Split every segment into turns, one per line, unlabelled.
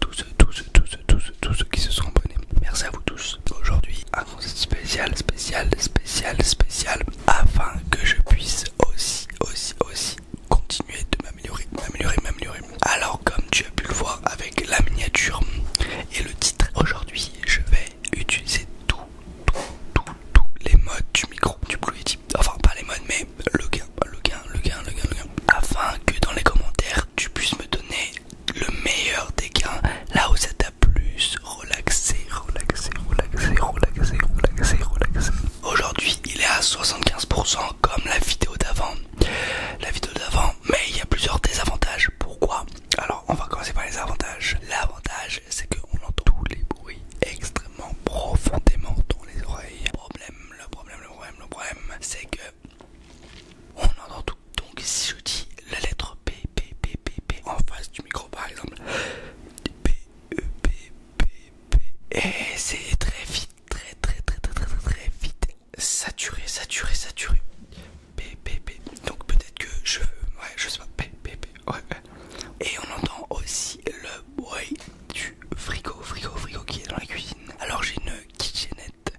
tous tous tous tous tous ceux qui se sont abonnés. Merci à vous tous. Aujourd'hui, un conseil spécial, spécial, spécial, spécial, afin que je puisse aussi, aussi, aussi continuer de m'améliorer, m'améliorer, m'améliorer. Alors, comme tu as pu le voir avec la miniature et le titre, aujourd'hui, je vais utiliser tout, tout, tout, tous les modes du micro, du Blue enfin pas les modes, mais le gain, le gain, le gain, le gain, le gain, afin que dans les commentaires tu puisses me donner le meilleur des gains, là où ça t'a plus relaxé, relaxé, relaxé, relaxé, relaxé, relaxé. Aujourd'hui, il est à 75% comme la vidéo d'avant, la vidéo d'avant, mais il y a plusieurs désavantages. Pourquoi Alors, on va commencer par les avantages. L'avantage, c'est qu'on entend tous les bruits extrêmement profondément dans les oreilles. Problème le problème, le problème, le problème, c'est que on entend tout. Donc si je dis la lettre P, P, P, P, P en face du micro par exemple, P, E, P, P, P, et c'est très vite, très, très, très, très, très, très, vite, saturé, saturé, saturé, P, P, P. Donc peut-être que je, ouais, je sais pas, P, P, P, ouais. Et on entend aussi le bruit du frigo, frigo, frigo qui est dans la cuisine. Alors j'ai une kitchenette,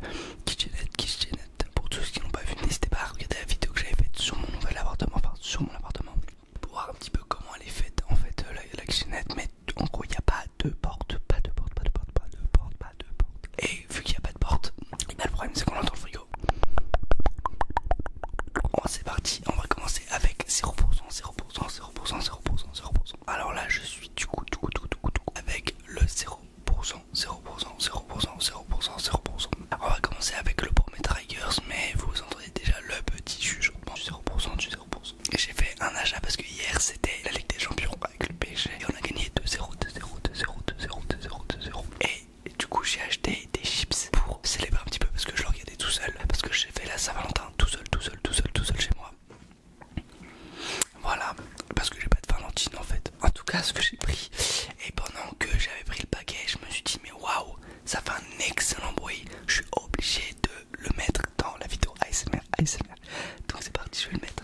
kitchenette, kitchenette. Pour tous ceux qui n'ont pas vu, n'hésitez pas à regarder la vidéo que j'avais faite sur mon nouvel appartement, enfin sur mon appartement, pour voir un petit peu comment elle est faite en fait euh, la, kitchenette. Mais en gros, il n'y a pas de porte, pas de porte, pas de porte, pas de porte, pas de porte. Et vu qu'il n'y a pas de porte, eh ben, le problème c'est qu'on entend le frigo. Bon, c'est parti, on va commencer avec 0%, 0%, 0%, 0%, 0%. Alors là, je suis du coup, du coup, du coup, du coup, du coup avec le 0%, 0%, 0%, 0%, 0%, On va commencer avec le premier Triggers mais vous entendez déjà le petit juge. du 0%, du 0%. J'ai fait un achat parce que hier c'était la Ligue des Champions avec le PSG et on a gagné 2-0, 2-0, 2-0, 2-0, 2-0, 2-0. Et du coup, j'ai acheté des chips pour célébrer un petit peu parce que je le regardais tout seul. Parce que j'ai fait la Saint-Valentin tout seul, tout seul, tout seul, tout seul chez moi. Voilà, parce que j'ai pas de Valentine en fait. En tout cas, ce que j'ai pris. Et pendant que j'avais pris le paquet, je me suis dit, mais waouh, ça fait un excellent bruit. Je suis obligé de le mettre dans la vidéo ASMR. ASMR. Donc c'est parti, je vais le mettre.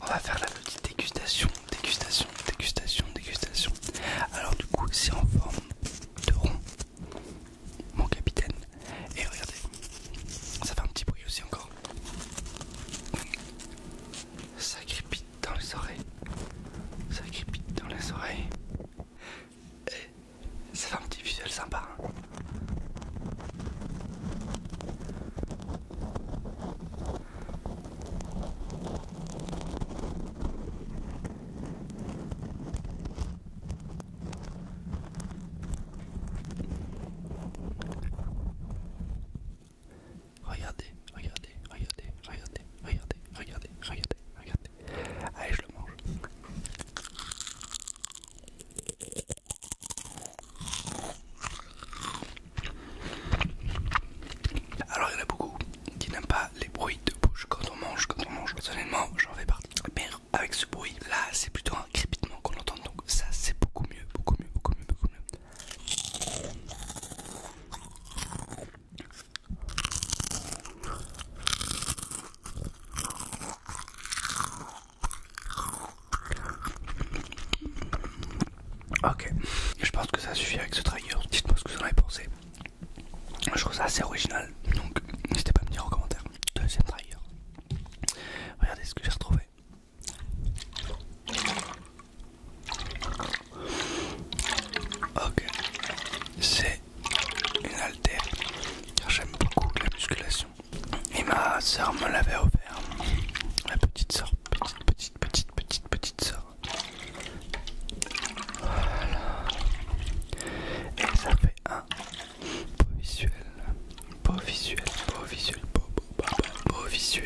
On va faire la petite dégustation, dégustation, dégustation, dégustation. Alors du coup c'est en forme de rond, mon capitaine. Et regardez, ça fait un petit bruit aussi encore. Ça crépite dans les oreilles. Ça crépite dans les oreilles. Et ça fait un petit visuel sympa. Hein. Regardez, regardez, regardez, regardez, regardez, regardez, regardez, regardez. Allez, je le mange. Alors il y en a beaucoup qui n'aiment pas les bruits de bouche quand on mange, quand on mange. Personnellement, j'en fais partie. Mais avec ce bruit, là, c'est plutôt un crépitement qu'on entend. Donc ça, c'est beaucoup mieux, beaucoup mieux, beaucoup mieux, beaucoup mieux. Ok, je pense que ça suffit avec ce trailer. Dites-moi ce que vous en avez pensé. Je trouve ça assez original, donc n'hésitez pas à me dire en commentaire. Deuxième trailer. Regardez ce que j'ai retrouvé. Ok, c'est une haltère j'aime beaucoup la musculation. Et ma soeur me l'avait offert, ma petite soeur, petite, petite, petite petite, petite, sorte. Et ça fait un beau visuel. Beau visuel, beau visuel, beau, beau, beau visuel,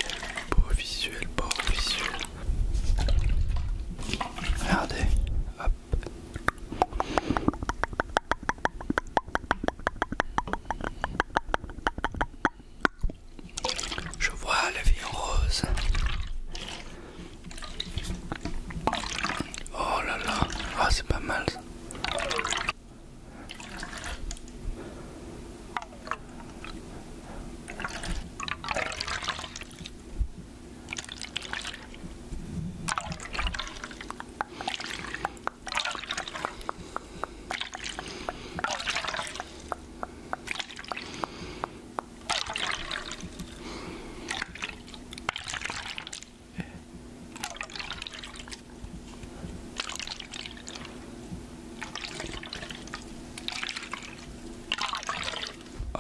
beau visuel, beau visuel. Regardez. Hop. Je vois la vie en rose. Oh là là, ah, c'est pas mal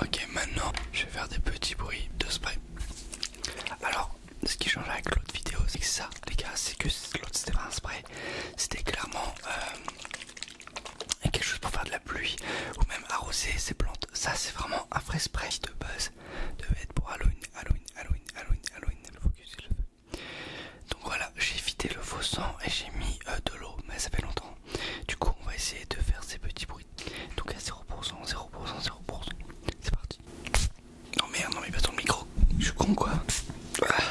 Ok, maintenant je vais faire des petits bruits de spray. Alors, ce qui change avec l'autre vidéo, c'est que ça, les gars, c'est que l'autre c'était pas un spray, c'était clairement euh, quelque chose pour faire de la pluie ou même arroser ces plantes. Ça, c'est vraiment un vrai spray de buzz, Devait être pour Halloween, Halloween, Halloween, Halloween, Halloween. focus Donc voilà, j'ai évité le faux sang et j'ai mis euh, de l'eau, mais ça fait longtemps. Du coup, on va essayer de faire ces petits bruits. tout cas 0%, 0%, 0%. C'est parti. Non merde, non mais pas ton micro. Je suis con quoi. Ah.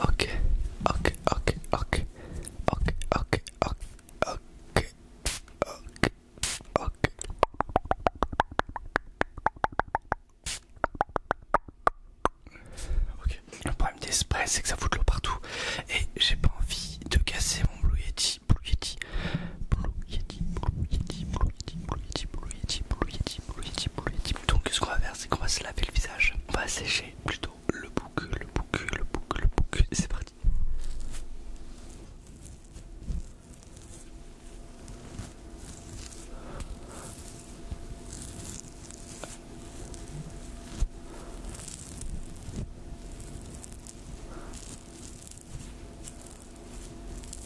Ok, ok, ok, ok, ok, ok, ok, ok, ok, ok. Ok. Le problème des sprays, c'est que ça fout de l'eau partout et j'ai pas envie de casser mon Blue Yeti, Blue Yeti, Blue Yeti, Blue Yeti, Blue Yeti, Donc, ce qu'on c'est qu'on va se laver le visage. On va sécher plutôt le bouc, le bouc, le bouc, le bouc. C'est parti.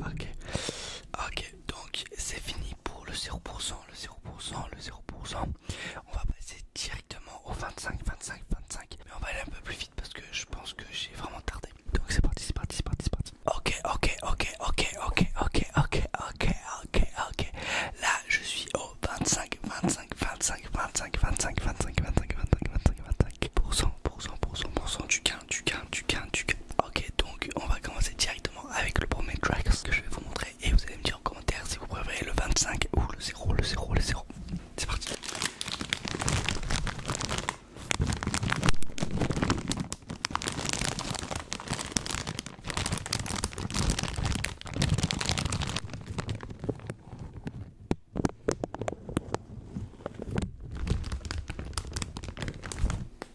ok, ok, Donc c'est fini pour le 0%, le 0%, le 0%. On va passer directement au 25, 25, 25. Mais on va aller un peu plus vite parce que je pense que j'ai vraiment tardé. Donc c'est parti, c'est parti, c'est parti, c'est parti. Ok, ok, ok, ok, ok, ok, ok, ok, ok, ok. Là je suis au 25, 25, 25, 25, 25, 25, 25, 25, 25, 25, 25%, du gain, du gain, du gain, du gain. Ok, donc on va commencer directement avec le premier track que je vais vous montrer et vous allez me dire en commentaire si vous préférez le 25 ou le 0, le 0, le 0. C'est parti.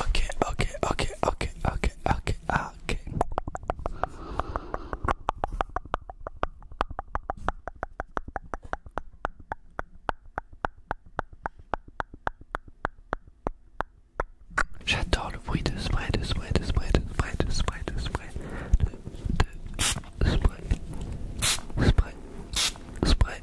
Okay, okay, okay, okay, okay, okay, okay. J'adore le bruit de spray, de spray, de spray, de spray, de spray, de spray, de, de, spray, spray, spray,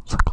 50,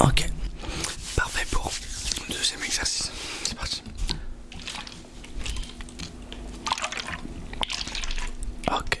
Ok, parfait pour le deuxième exercice. C'est parti. Ok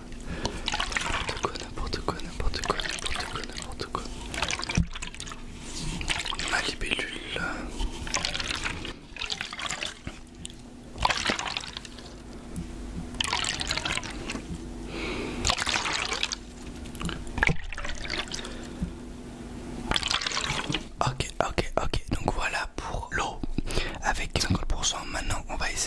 N'importe quoi, n'importe quoi, n'importe quoi, n'importe quoi, n'importe quoi. Ma libellule. Ok, ok, ok. Donc voilà pour l'eau avec 50%. Maintenant, on va essayer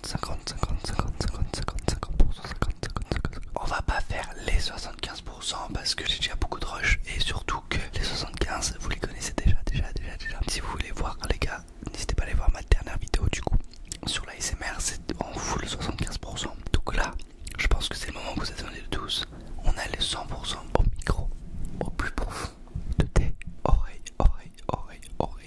50, 50, 50, 50, 50, 50, 50, 50, 50, On va pas faire les 75% parce que j'ai déjà beaucoup de rush et surtout que les 75, vous les connaissez déjà, déjà, déjà, déjà. Si vous voulez voir les gars, n'hésitez pas à aller voir ma dernière vidéo du coup sur la 50 c'est en le 75%. Donc là, je pense que c'est le moment que vous attendez de tous. On a les 100% au micro, au plus profond de tes oreilles, oreilles, oreilles.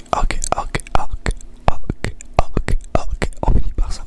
ok, ok, ok, ok, ok, ok, ok, on par ça. Ok.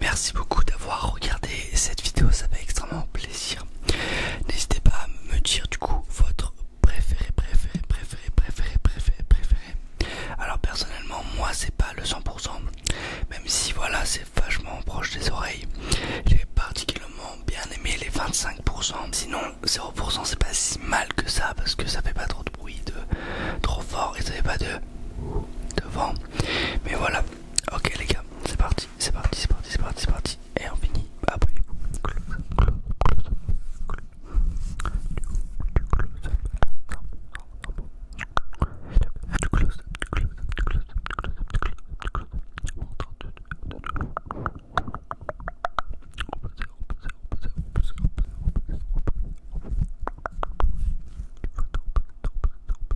Merci beaucoup d'avoir regardé cette vidéo, ça fait extrêmement plaisir. N'hésitez pas à me dire du coup votre préféré, préféré, préféré, préféré, préféré, préféré. Alors personnellement, moi c'est pas le 100%, même si voilà, c'est vachement proche des oreilles. J'ai particulièrement bien aimé les 25%. Sinon, 0% c'est pas si mal que ça parce que ça fait pas trop de bruit de trop fort et ça fait pas de, de vent. Mais voilà, Ok les gars, c'est parti, c'est parti, c'est parti, c'est parti, c'est parti. Et on finit. Abonnez-vous.